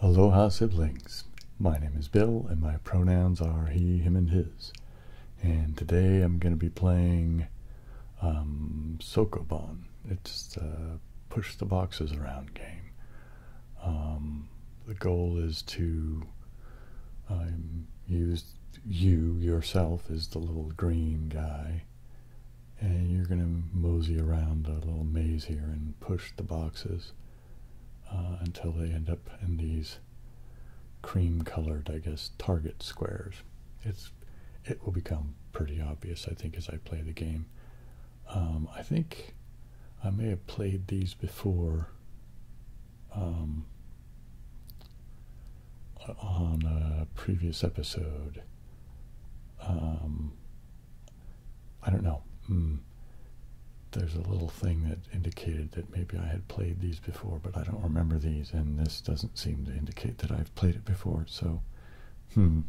Aloha siblings. My name is Bill and my pronouns are he, him, and his. And today I'm going to be playing um, Sokoban. It's the uh, push the boxes around game. Um, the goal is to um, use you yourself as the little green guy, and you're going to mosey around a little maze here and push the boxes uh, until they end up in these cream-colored, I guess, target squares. It's it will become pretty obvious, I think, as I play the game. Um, I think I may have played these before um, on a previous episode. Um, I don't know. Hmm. There's a little thing that indicated that maybe I had played these before, but I don't remember these, and this doesn't seem to indicate that I've played it before, so hmm.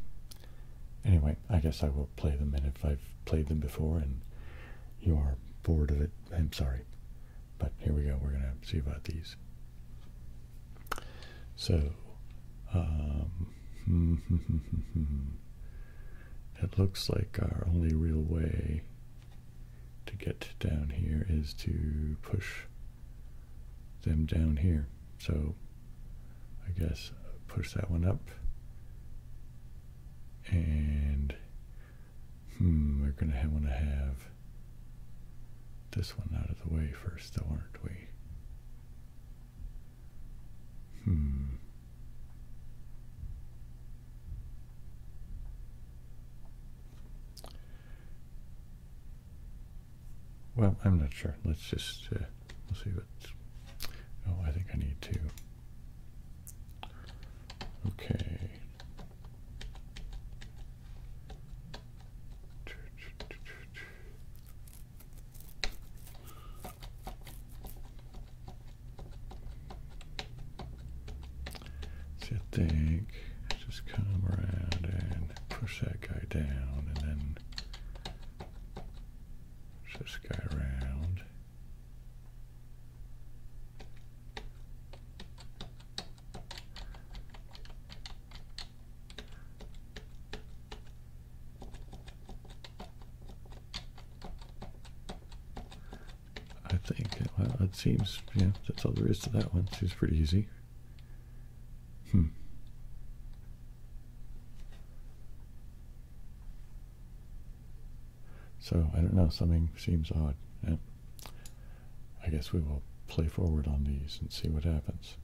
Anyway, I guess I will play them, and if I've played them before and you are bored of it, I'm sorry. But here we go, we're going to see about these. So, it um, looks like our only real way to get down here is to push them down here. So, I guess push that one up and hmm, we're going to want to have this one out of the way first, though, aren't we? Hmm. Well, I'm not sure. Let's just, uh, see what, oh, I think I need to Okay. See, I think just come around and push that guy down and then push this guy around. I think, well, it seems, yeah, that's all there is to that one. Seems pretty easy. Hmm. So I don't know, something seems odd. I guess we will play forward on these and see what happens.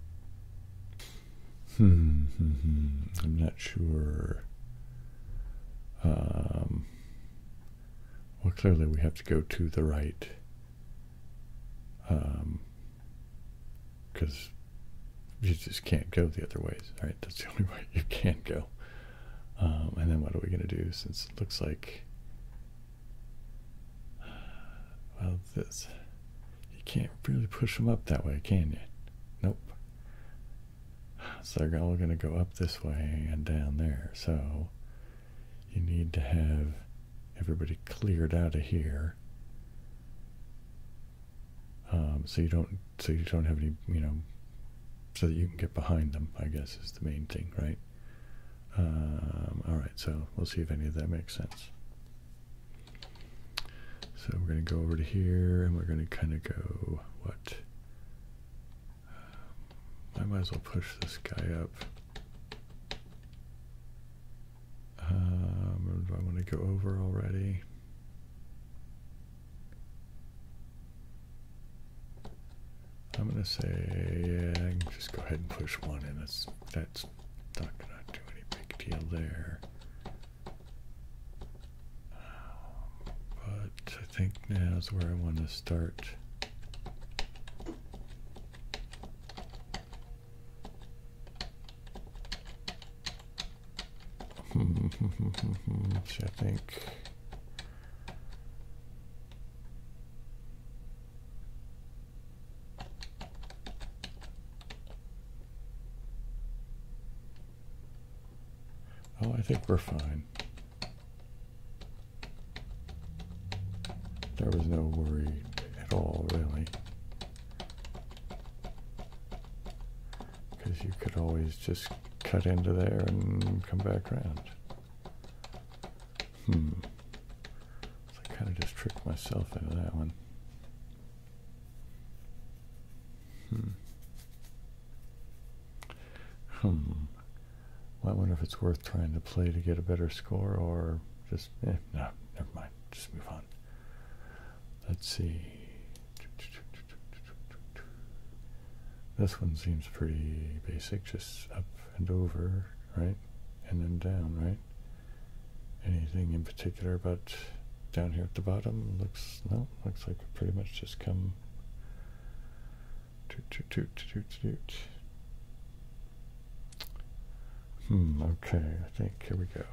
Hmm, hmm, hmm I'm not sure. Um, well, clearly we have to go to the right. Because um, you just can't go the other ways, right? That's the only way you can go. Um, and then what are we going to do since it looks like, well, this, you can't really push them up that way, can you? Nope. So they're all going to go up this way and down there. So you need to have everybody cleared out of here. Um, so you don't so you don't have any you know so that you can get behind them I guess is the main thing right um, all right so we'll see if any of that makes sense so we're gonna go over to here and we're gonna kind of go what um, I might as well push this guy up I want to go over already I'm gonna say yeah, I can just go ahead and push one and That's that's not gonna do any big deal there. Um, but I think now is where I want to start. Which I think. Oh, I think we're fine. There was no worry at all, really because you could always just cut into there and come back around. Hmm. I kind of just tricked myself into that one. Hmm. Hmm. I wonder if it's worth trying to play to get a better score or just, eh, no, never mind. Just move on. Let's see. This one seems pretty basic, just up and over, right? And then down, right? Anything in particular about down here at the bottom? Looks, no, looks like pretty much just come toot, toot, toot, toot, toot. Hmm, okay, I think, here we go.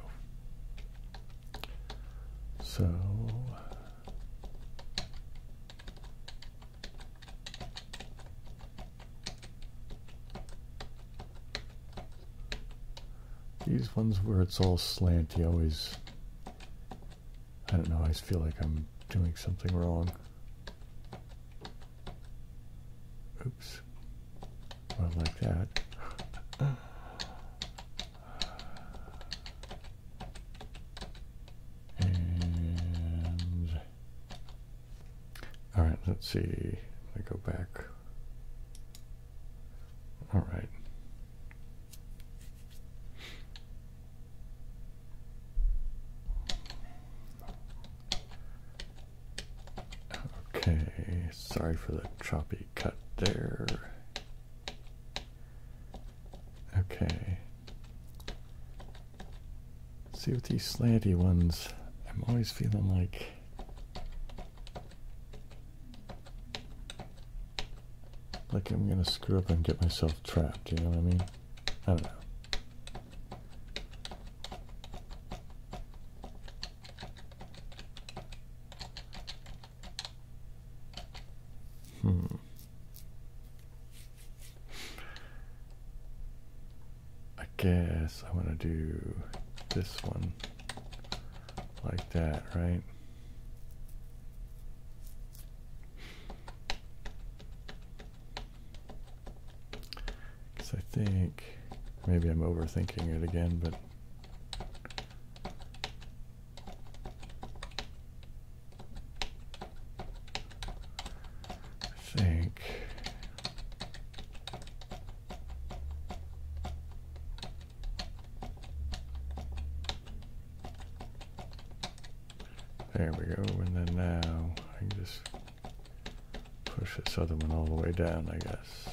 So, these ones where it's all slanty. always, I don't know, I feel like I'm doing something wrong. Oops. Well, like that. all right, let's see. I go back. All right. Okay, sorry for the choppy cut there. Okay. See with these slanty ones, I'm always feeling like like I'm gonna screw up and get myself trapped, you know what I mean? I don't know. Hmm. I guess I want to do this one like that, right? Because I think maybe I'm overthinking it again, but I think. There we go, and then now I can just push this other one all the way down, I guess.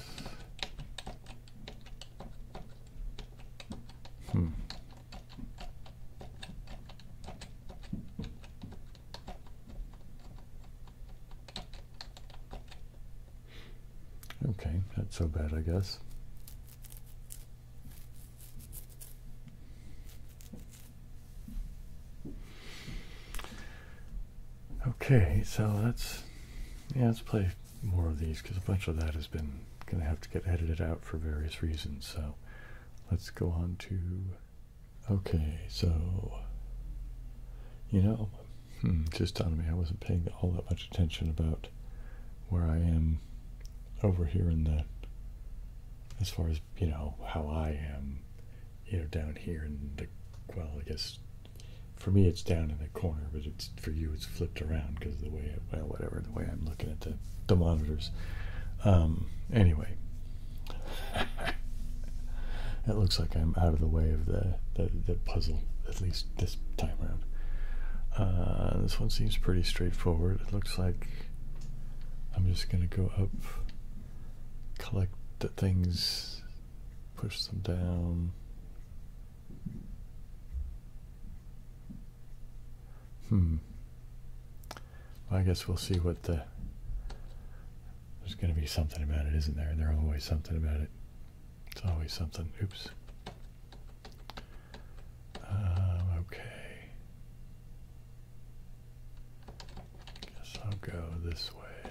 Hmm. Okay, not so bad, I guess. Okay, so let's, yeah, let's play more of these because a bunch of that has been going to have to get edited out for various reasons. So let's go on to. Okay, so. You know, hmm, just on me, I wasn't paying all that much attention about where I am over here in the. As far as, you know, how I am, you know, down here in the. Well, I guess for me it's down in the corner, but it's for you it's flipped around because the way well whatever the way I'm looking at the, the monitors um, anyway it looks like I'm out of the way of the the, puzzle at least this time around uh, this one seems pretty straightforward it looks like I'm just gonna go up collect the things push them down Hmm. I guess we'll see what the. There's going to be something about it, isn't there? There's always something about it. It's always something. Oops. Um, okay. Guess I'll go this way.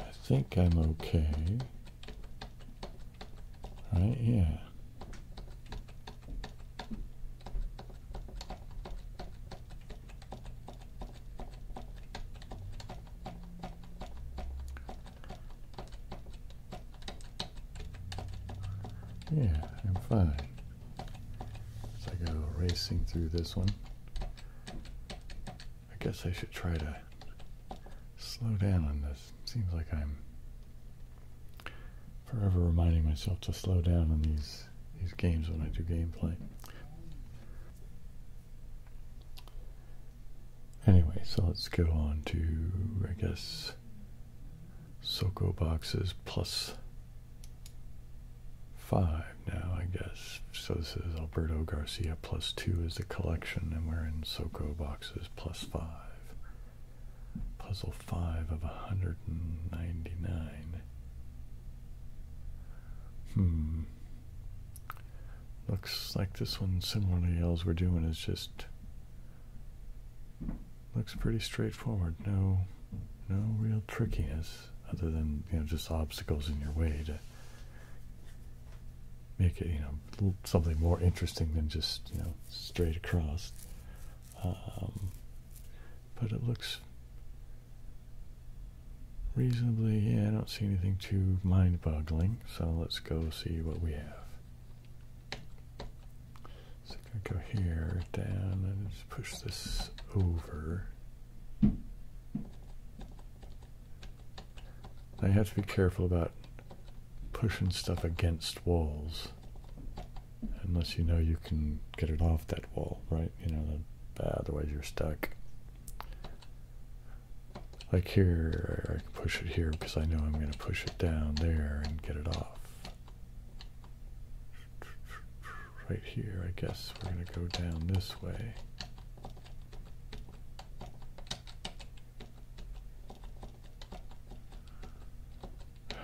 I think I'm okay. Right, yeah. Yeah, I'm fine. As I go racing through this one, I guess I should try to slow down on this. Seems like I'm forever reminding myself to slow down on these these games when I do gameplay. Anyway, so let's go on to, I guess, Soko boxes plus five now, I guess. So this is Alberto Garcia plus two is a collection, and we're in Soko boxes plus five. Puzzle five of 199. Hmm. Looks like this one similarly else we're doing is just looks pretty straightforward. No no real trickiness other than, you know, just obstacles in your way to make it, you know, something more interesting than just, you know, straight across. Um, but it looks reasonably, yeah, I don't see anything too mind-boggling, so let's go see what we have. So I'm going to go here, down, and just push this over. Now you have to be careful about pushing stuff against walls unless you know you can get it off that wall, right? You know, otherwise you're stuck. Like here, I can push it here because I know I'm going to push it down there and get it off. Right here, I guess we're going to go down this way.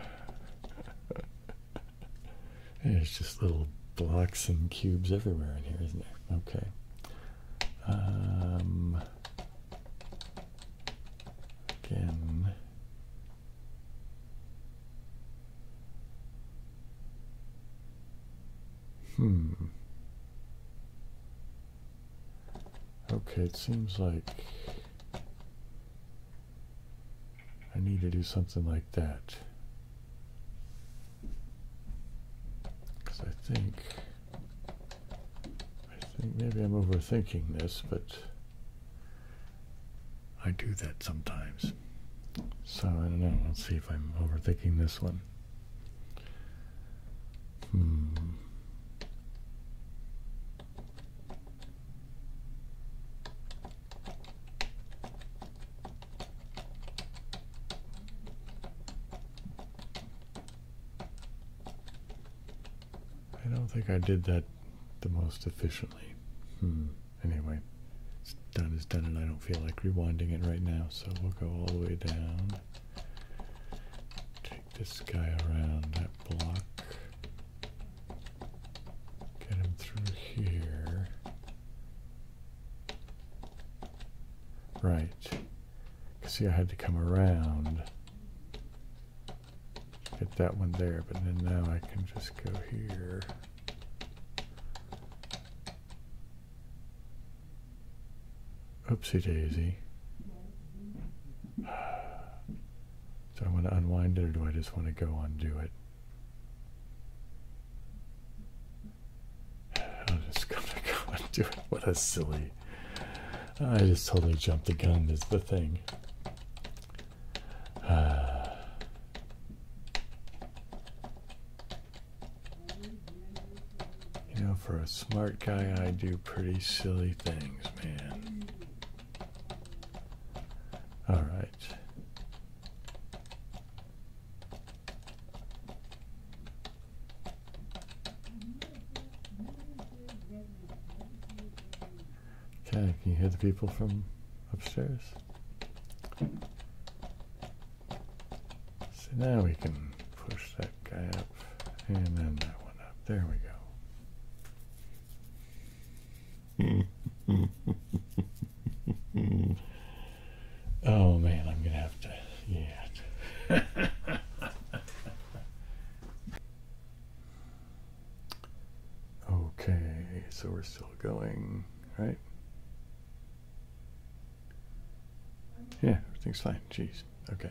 There's just little blocks and cubes everywhere in here, isn't there? Okay. Um, again. Hmm. Okay, it seems like I need to do something like that. Because I think, I think maybe I'm overthinking this, but I do that sometimes. So I don't know. Let's see if I'm overthinking this one. Hmm. I don't think I did that the most efficiently. Hmm. Anyway, it's done is done, and I don't feel like rewinding it right now, so we'll go all the way down. Take this guy around that block. Get him through here. Right. See, I had to come around. Get that one there, but then now I can just go here. Oopsie daisy. So I want to unwind it or do I just want to go undo it? I'm just gonna go and do it. What a silly. I just totally jumped the gun, is the thing. you know, for a smart guy, I do pretty silly things, man. Alright. Okay, can you hear the people from upstairs? So now we can push that guy up and then that one up. There we go. oh man, I'm gonna have to. Yeah. okay, so we're still going, right? Yeah, everything's fine. Jeez. Okay.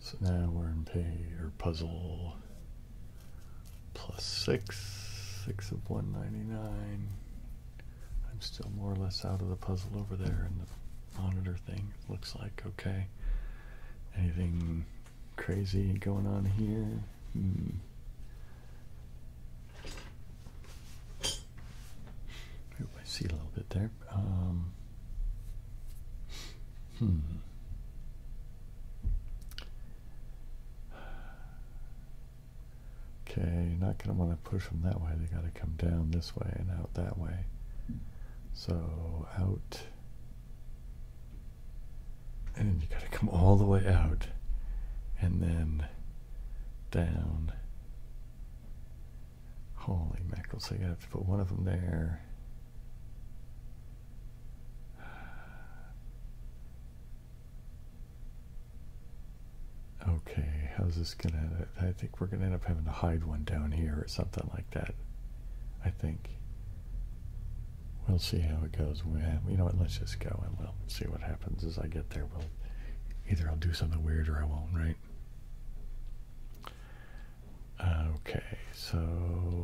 So now we're in pay or puzzle plus 6, 6 of 199. I'm still more or less out of the puzzle over there and the monitor thing. looks like okay. Anything crazy going on here? Hmm. Ooh, I see a little bit there. Um, hmm. Okay, not going to want to push them that way. They got to come down this way and out that way. So out. And then you got to come all the way out. And then down. Holy mackerel. So you have to put one of them there. Okay, how's this gonna? I think we're gonna end up having to hide one down here or something like that. I think. We'll see how it goes. We have, eh, you know what? Let's just go and we'll see what happens as I get there. We'll either I'll do something weird or I won't, right? Okay, so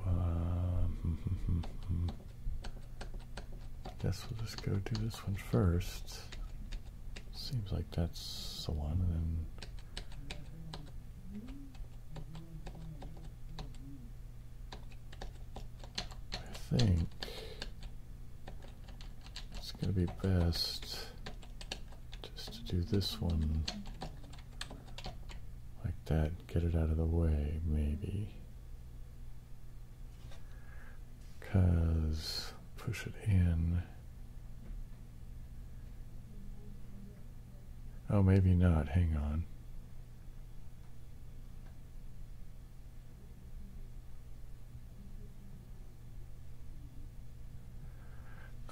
um, hmm, hmm, hmm. Guess we'll just go do this one first. Seems like that's the one, and then. I think it's going to be best just to do this one like that, get it out of the way, maybe because push it in. Oh, maybe not. Hang on.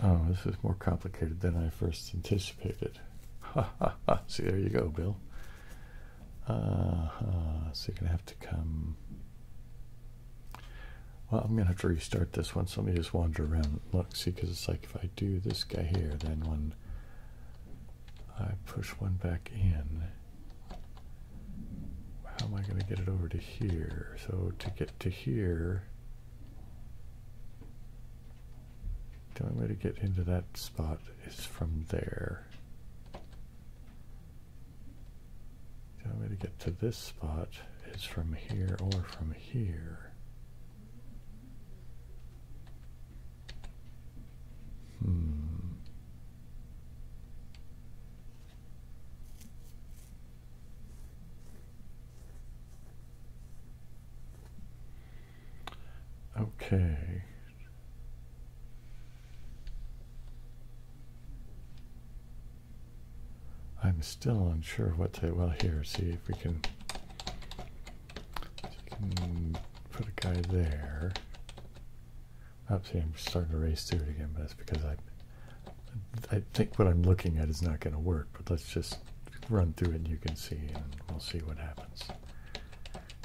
Oh, this is more complicated than I first anticipated. Ha See, there you go, Bill. Uh, uh, so you're gonna have to come. Well, I'm gonna have to restart this one. So let me just wander around look, see, because it's like if I do this guy here, then when I push one back in, how am I gonna get it over to here? So to get to here, the only way to get into that spot is from there. The only way to get to this spot is from here or from here. Hmm. Okay, I'm still unsure what to, well here, see if we can, put a guy there. Oops, see, I'm starting to race through it again, but that's because I, I think what I'm looking at is not going to work, but let's just run through it and you can see and we'll see what happens.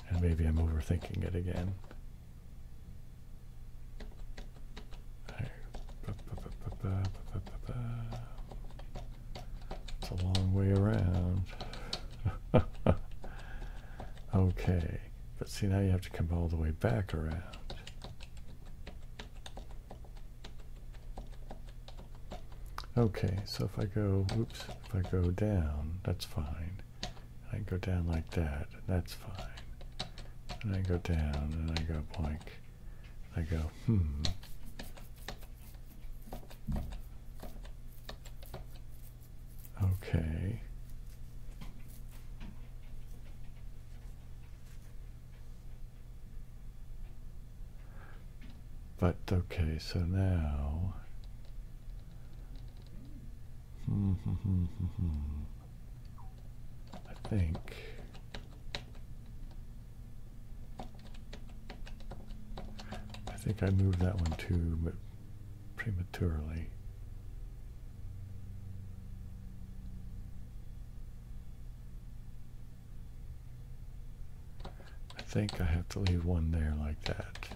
And maybe I'm overthinking it again. It's a long way around. okay, but see now you have to come all the way back around. Okay, so if I go, oops, if I go down, that's fine. I go down like that. That's fine. And I go down and I go blank. I go, hmm. Okay. But okay, so now I think. I think I moved that one too, but prematurely. I think I have to leave one there like that.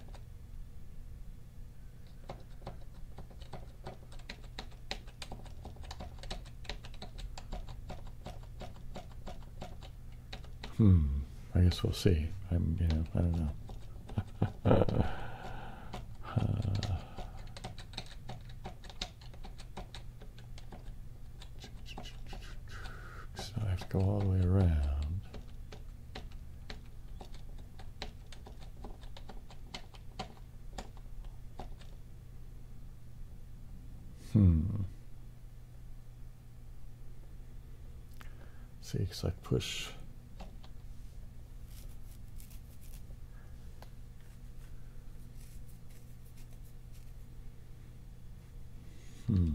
Hmm. I guess we'll see. I'm, you know, I don't know. So I have to go all the way around. Hmm. See, because I push. Hmm.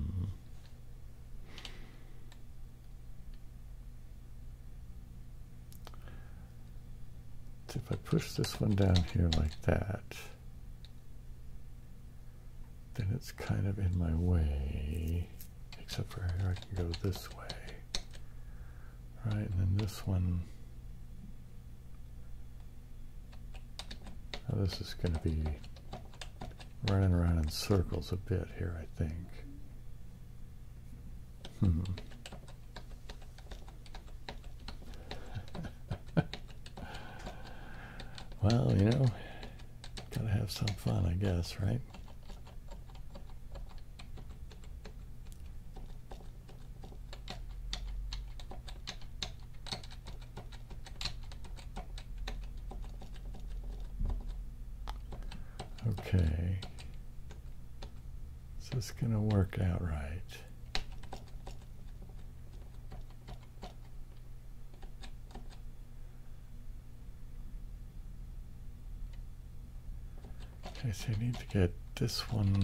If I push this one down here like that, then it's kind of in my way, except for here I can go this way. right? and then this one, this is going to be running around in circles a bit here, I think. Hmm. well, you know, gotta have some fun, I guess, right? Okay. Is this going to work out right? I so need to get this one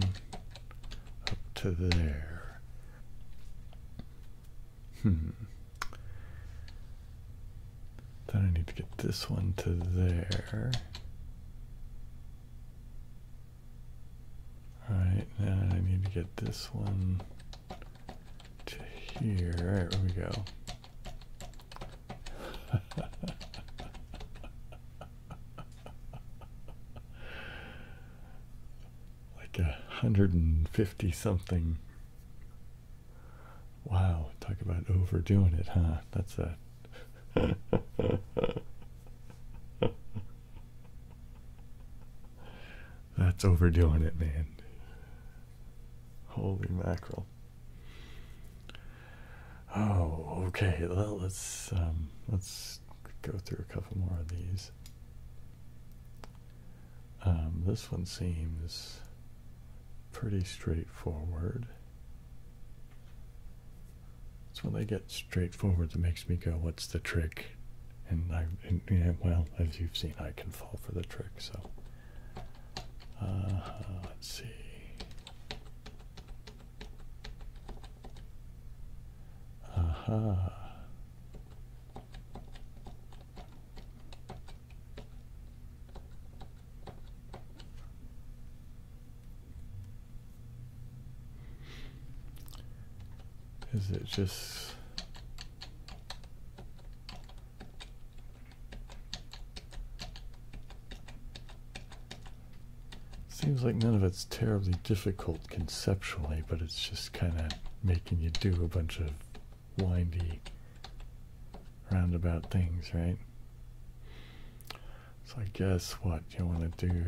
up to there. Hmm. Then I need to get this one to there. Alright, now I need to get this one to here. Alright, here we go. like a hundred and fifty something Wow, talk about overdoing it, huh? That's that. That's overdoing it, man. Holy mackerel. Oh, okay. let's um, let's go through a couple more of these. Um, this one seems pretty straightforward. It's when they get straightforward that makes me go, what's the trick? And I, well, as you've seen, I can fall for the trick, so. Uh, let's see. Aha. Uh-huh. Is it just... Seems like none of it's terribly difficult conceptually, but it's just kind of making you do a bunch of windy roundabout things, right? So I guess what you want to do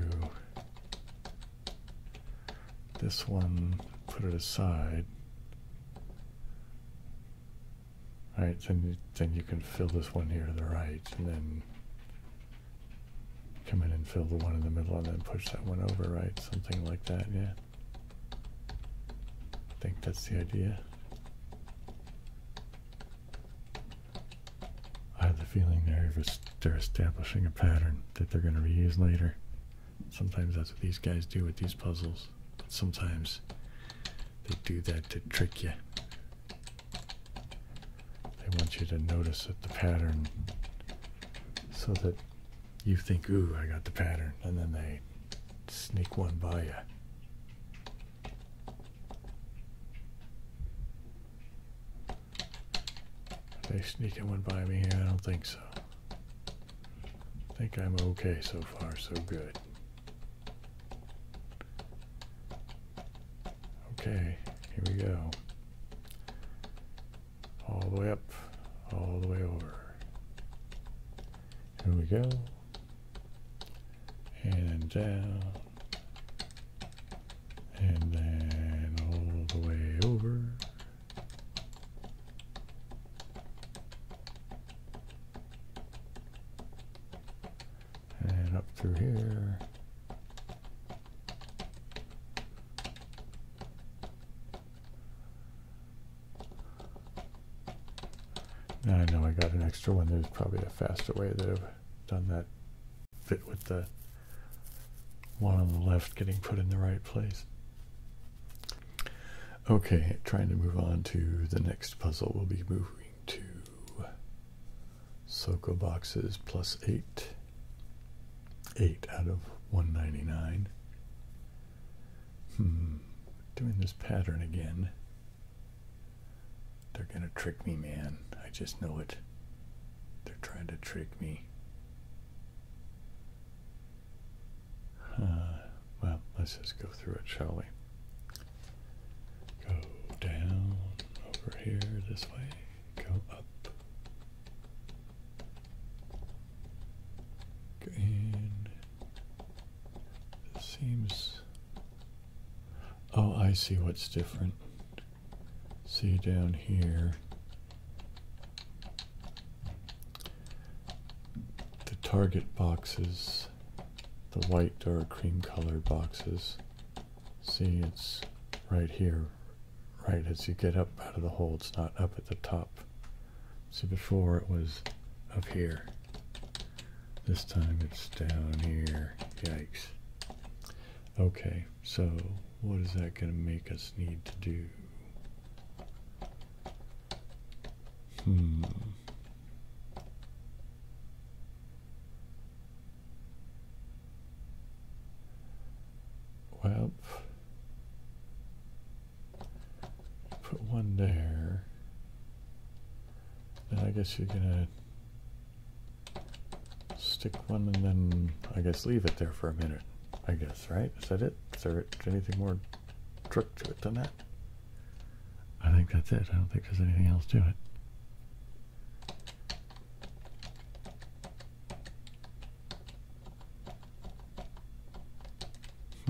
this one, put it aside. Alright, then, then you can fill this one here to the right, and then come in and fill the one in the middle, and then push that one over, right? Something like that, yeah? I think that's the idea. I have the feeling they're, establishing a pattern that they're going to reuse later. Sometimes that's what these guys do with these puzzles. sometimes they do that to trick you. They want you to notice that the pattern so that you think, ooh, I got the pattern. And then they sneak one by you they sneaking one by me here? I don't think so. I think I'm okay so far, so good. Okay, here we go. All the way up, all the way over. Here we go and down and then all the way over and up through here now I know I got an extra one. There's probably a faster way that I've done that fit with the one on the left getting put in the right place. Okay, trying to move on to the next puzzle. We'll be moving to Soko boxes plus 8. 8 out of 199. Hmm, doing this pattern again. They're gonna trick me, man. I just know it. They're trying to trick me. Uh, well, let's just go through it, shall we? Go down over here this way. Go up. Go in. This seems Oh, I see what's different. See down here. The target boxes, the white or cream colored boxes. See, it's right here, right as you get up out of the hole. It's not up at the top. So before it was up here. This time it's down here. Yikes. Okay, so what is that going to make us need to do? Hmm. Well, Put one there. and I guess you're gonna stick one and then I guess leave it there for a minute. I guess, right? Is that it? Is there anything more trick to it than that? I think that's it. I don't think there's anything else to it.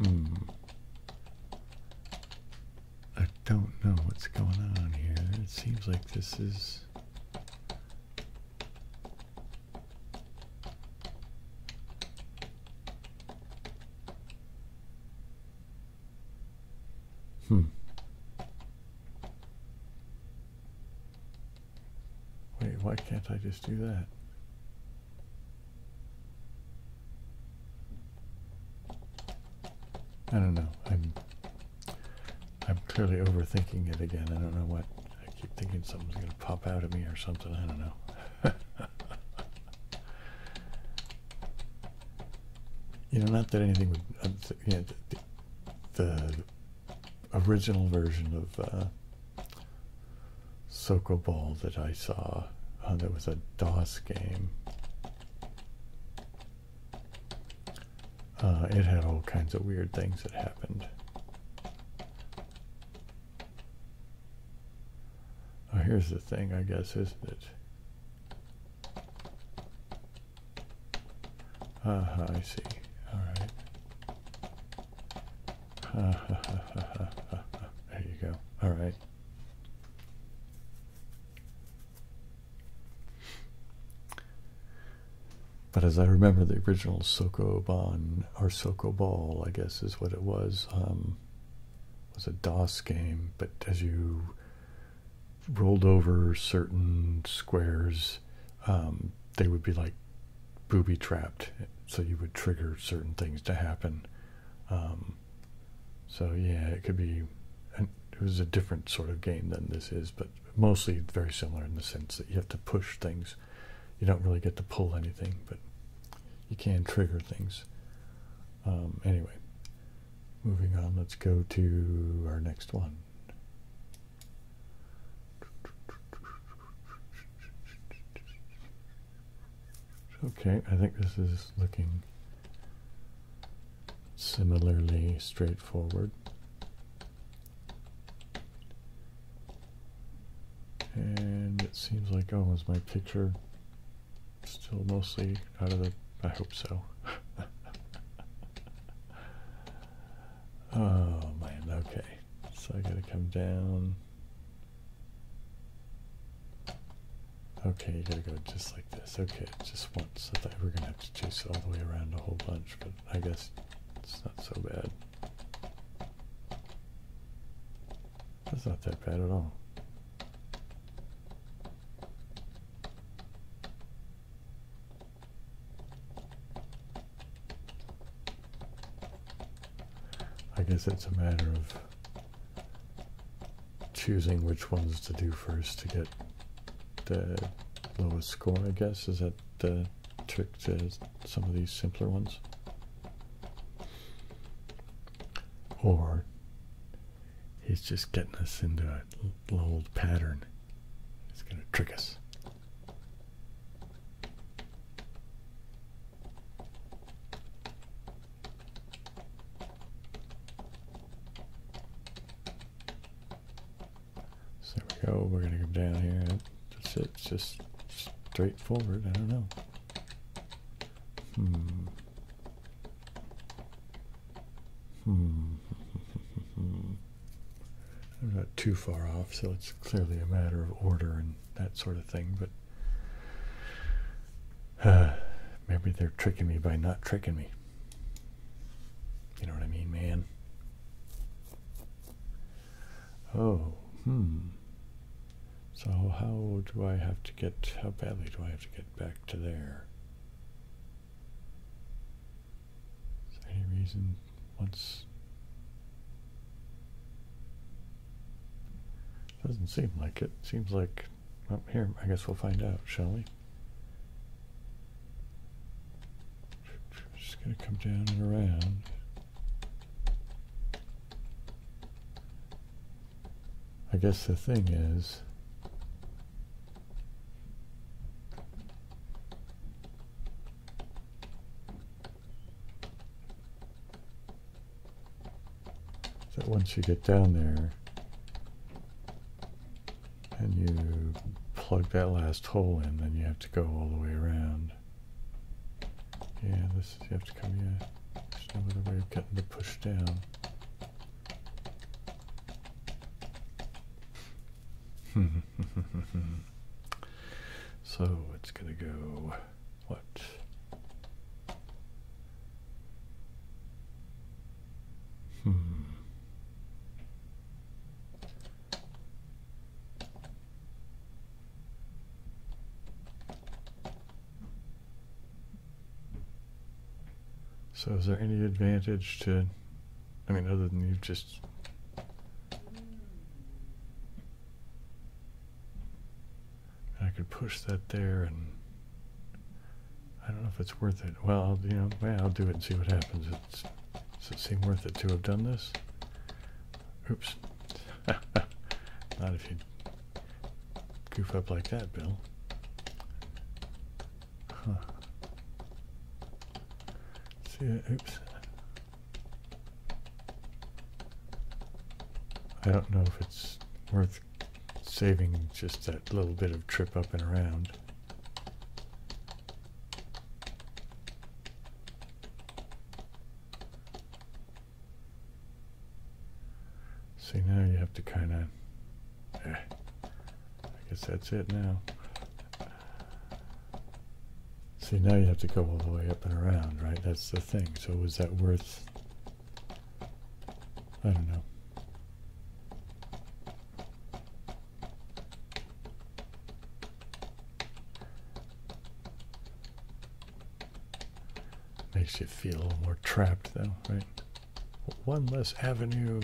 Hmm. I don't know what's going on here. It seems like this is. Hmm. Wait, why can't I just do that? I don't know. I'm I'm clearly overthinking it again. I don't know what. I keep thinking something's going to pop out at me or something. I don't know. you know, not that anything would. Uh, the, original version of uh, Soko Ball that I saw uh, oh, there was a DOS game. Uh, it had all kinds of weird things that happened. Oh, here's the thing, I guess, isn't it? Uh-huh, I see. All right. there you go. All right. But as I remember, the original Sokoban or Sokoball, I guess, is what it was. Um, was a DOS game, but as you rolled over certain squares, um, they would be like booby trapped, so you would trigger certain things to happen. Um, so yeah, it could be. it was a different sort of game than this is, but mostly very similar in the sense that you have to push things. You don't really get to pull anything, but you can trigger things. Um, anyway, moving on. Let's go to our next one. Okay, I think this is looking similarly straightforward. And it seems like, oh, is my picture still mostly out of the, I hope so. oh man, okay. So I gotta come down. Okay, you gotta go just like this. Okay, just once. I thought we are gonna have to chase it all the way around a whole bunch, but I guess it's not so bad. That's not that bad at all. I guess it's a matter of choosing which ones to do first to get the lowest score, I guess. Is that the trick to some of these simpler ones? Or he's just getting us into a old pattern. He's going to trick us. So we go, we're gonna go down here. That's it, it's just straightforward, I don't know. Hmm. Hmm. I'm not too far off, so it's clearly a matter of order and that sort of thing, but maybe they're tricking me by not tricking me. You know what I mean, man? Oh, hmm. So how do I have to get, how badly do I have to get back to there? Is there any reason once doesn't seem like it. Seems like, well, here, I guess we'll find out, shall we? Just gonna come down and around. I guess the thing is, that once you get down there and you plug that last hole in, then you have to go all the way around. Yeah, this you have to come, yeah. There's no other way of getting the push down. so it's gonna go what? Hmm. So is there any advantage to, I mean, other than you've just I could push that there and I don't know if it's worth it. Well, you know, yeah, I'll do it and see what happens. It's, it seem worth it to have done this? Oops. Not if you goof up like that, Bill. Huh. See, oops. I don't know if it's worth saving just that little bit of trip up and around. See, now you have to kind of... Eh, I guess that's it now. See, now you have to go all the way up and around, right? That's the thing. So was that worth I don't know. Makes you feel a little more trapped, though, right? One less avenue.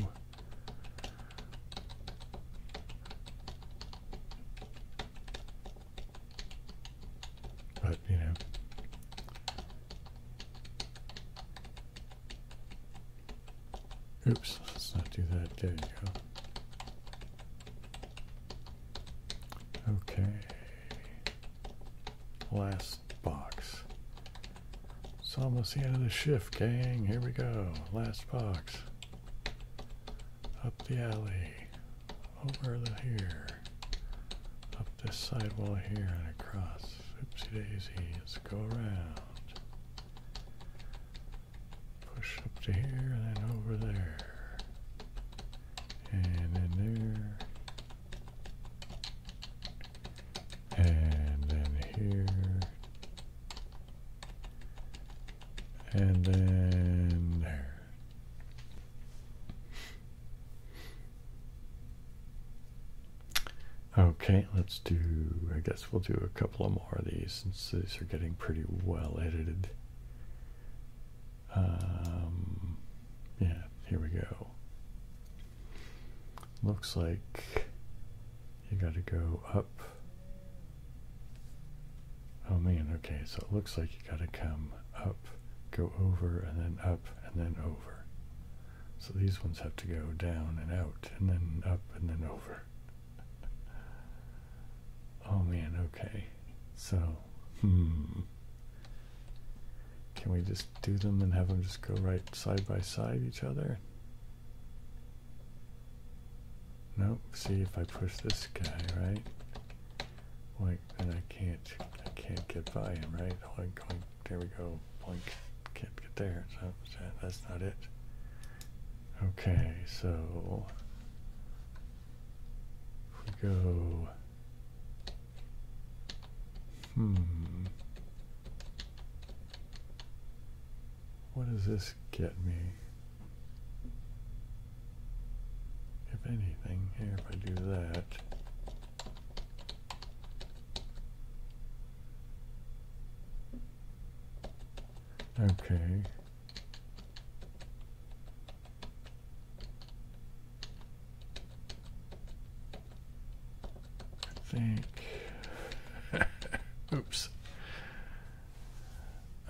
But, you know, Oops, let's not do that. There you go. Okay. Last box. It's almost the end of the shift, gang. Here we go. Last box. Up the alley. Over the here this side wall here and across. Oopsie daisy, let's go around. Push up to here and then over there. And then there. And then here. And then there. Okay, let's do, I guess we'll do a couple of more of these since these are getting pretty well edited. Um, yeah, here we go. Looks like you got to go up. Oh man, okay, so it looks like you got to come up, go over, and then up, and then over. So these ones have to go down and out, and then up, and then over. Oh man, okay. So, hmm. Can we just do them and have them just go right side by side each other? Nope. See if I push this guy, right? White and I can't, I can't get by him, right? Oink, oink, there we go, oink, can't get there, so that's not it. Okay, so we go, hmm, what does this get me? If anything, here if I do that, Okay. think. Oops.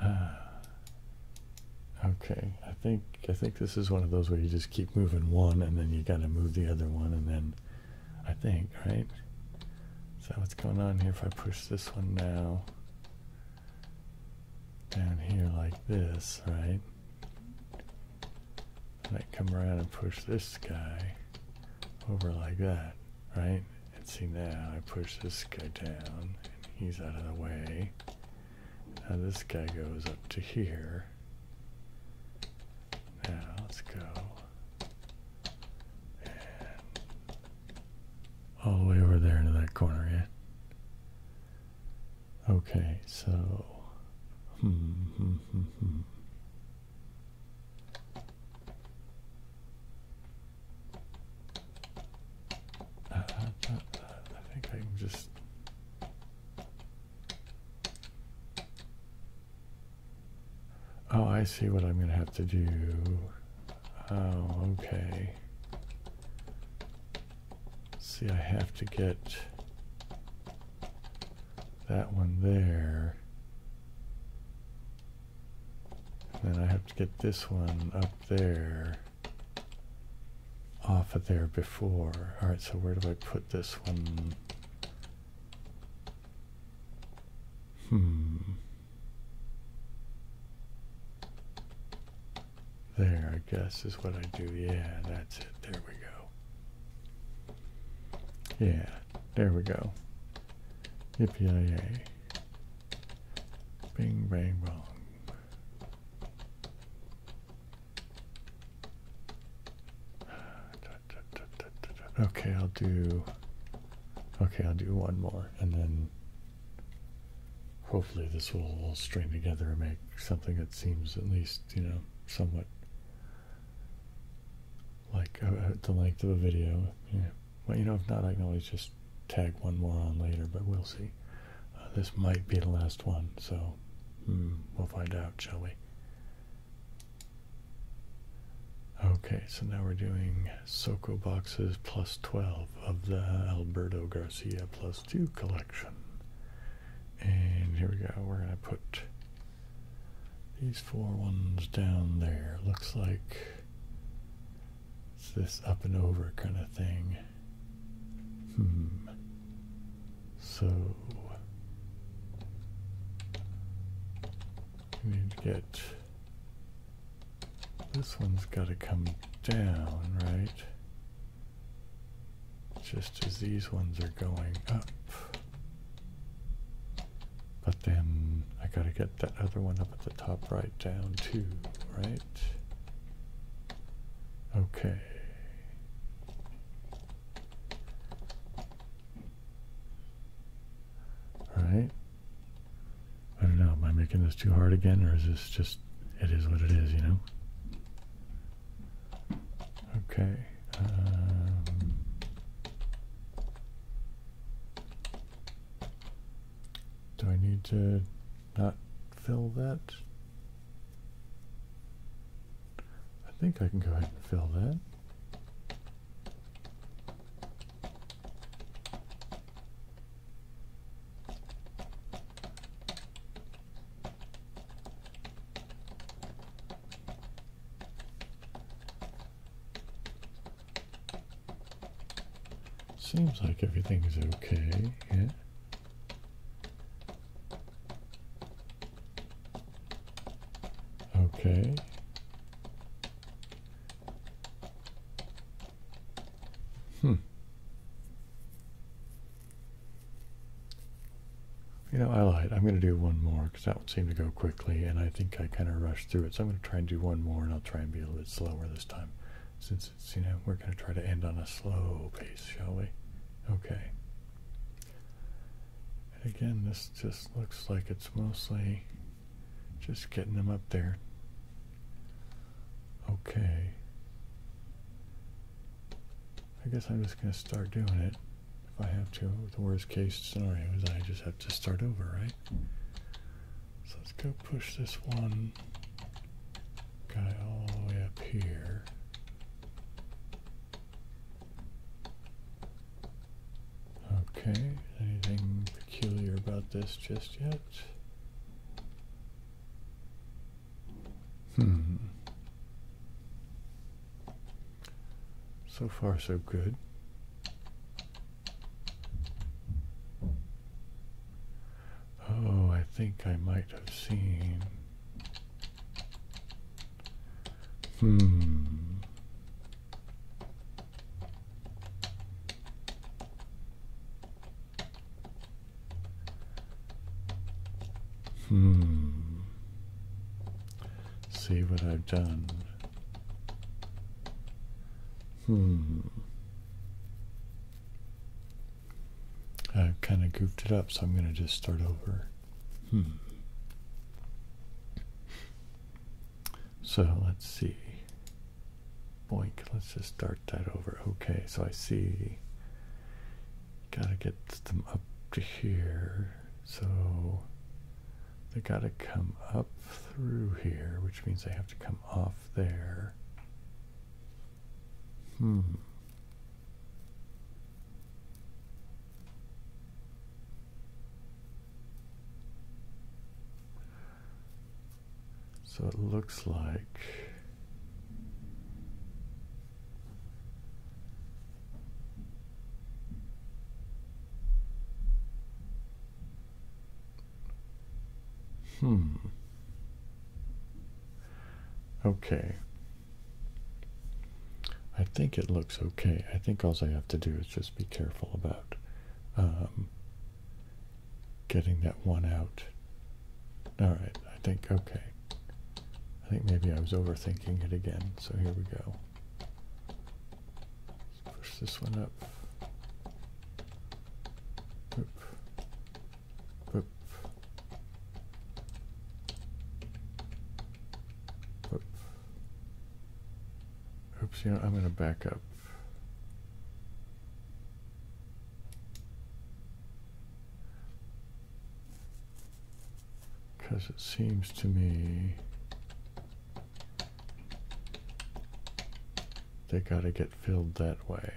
Uh, okay, I think I think this is one of those where you just keep moving one and then you gotta move the other one and then I think, right? Is that what's going on here? If I push this one now down here like this, right? And I come around and push this guy over like that, right? And see now I push this guy down and he's out of the way. Now this guy goes up to here. Now let's go all the way over there into that corner, yeah. Okay, so hmm, hmm, hmm, hmm. Uh, uh, uh, I think I can just Oh, I see what I'm going to have to do. Oh, okay. See, I have to get that one there. And then I have to get this one up there off of there before. All right, so where do I put this one. Hmm. There, I guess, is what I do. Yeah, that's it. There we go. Yeah, there we go. Yippee-yay. Bing, bang, bong. Okay, I'll do. Okay, I'll do one more, and then hopefully this will all string together and make something that seems at least you know somewhat like uh, uh, the length of a video. Well, you know, if not, I can always just tag one more on later, but we'll see. Uh, this might be the last one, so hmm, we'll find out, shall we? Okay, so now we're doing Soko boxes plus 12 of the Alberto Garcia plus 2 collection. And here we go, we're going to put these four ones down there. Looks like it's this up and over kind of thing. Hmm. So we need to get this one's got to come down, right? Just as these ones are going up. But then I got to get that other one up at the top right down too, right? Okay. All right. I don't know. Am I making this too hard again, or is this just it is what it is? You know. Okay. Um, do I need to not fill that? I think I can go ahead and fill that. Seems like everything is okay, yeah. Okay. Hmm. You know, I lied. I'm going to do one more because that would seem to go quickly, and I think I kind of rushed through it. So I'm going to try and do one more, and I'll try and be a little bit slower this time. Since it's, you know, we're going to try to end on a slow pace, shall we? Okay again, this just looks like it's mostly just getting them up there. Okay. I guess I'm just going to start doing it if I have to. The worst case scenario is I just have to start over, right? So let's go push this one guy all the way up here. Okay, anything peculiar about this just yet? Hmm. So far, so good. Oh, I think I might have seen Hmm. Hmm. See what I've done. Hmm. I kind of goofed it up, so I'm going to just start over. Hmm. So let's see. Boink, let's just start that over. Okay, so I see. Gotta get them up to here. So they gotta come up through here, which means they have to come off there. Hmm. So it looks like Hmm. Okay. I think it looks okay. I think all I have to do is just be careful about um, getting that one out. All right, I think, okay. I think maybe I was overthinking it again, so here we go. Let's push this one up. Boop. Boop. Oops, you know, I'm going to back up. Because it seems to me they got to get filled that way.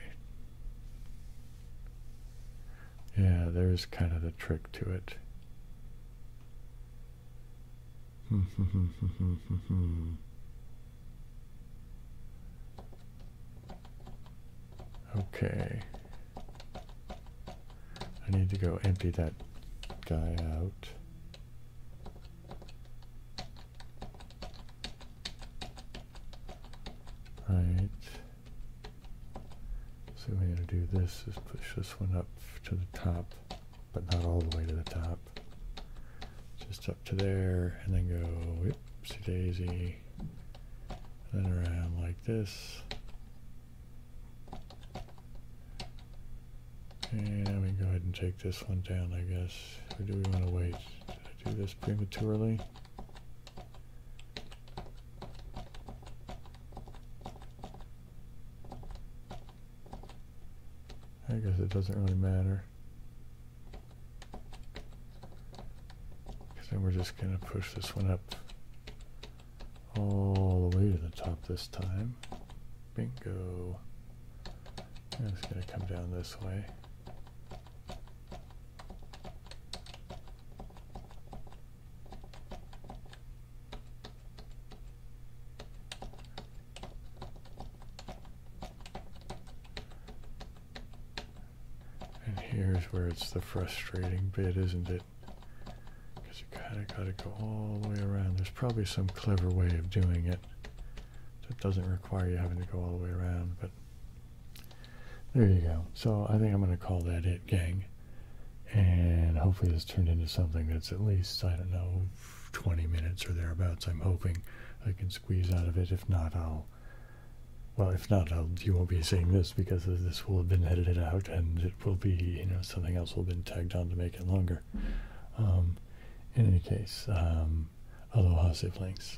Yeah, there's kind of the trick to it. okay. I need to go empty that guy out. Right. So we're going to do this is push this one up to the top, but not all the way to the top. Just up to there, and then go whoopsie daisy, then around like this. And we can go ahead and take this one down, I guess. Or do we want to wait? Did I do this prematurely? I guess it doesn't really matter. Because then we're just going to push this one up all the way to the top this time. Bingo. it's going to come down this way. And here's where it's the frustrating bit, isn't it? Because you kind of got to go all the way around. There's probably some clever way of doing it that doesn't require you having to go all the way around, but there you go. So I think I'm going to call that it, gang. And hopefully this turned into something that's at least, I don't know, 20 minutes or thereabouts. I'm hoping I can squeeze out of it. If not, I'll... Well, if not, I'll, you won't be seeing this because this will have been edited out and it will be, you know, something else will have been tagged on to make it longer. Um, in any case, um, aloha siblings.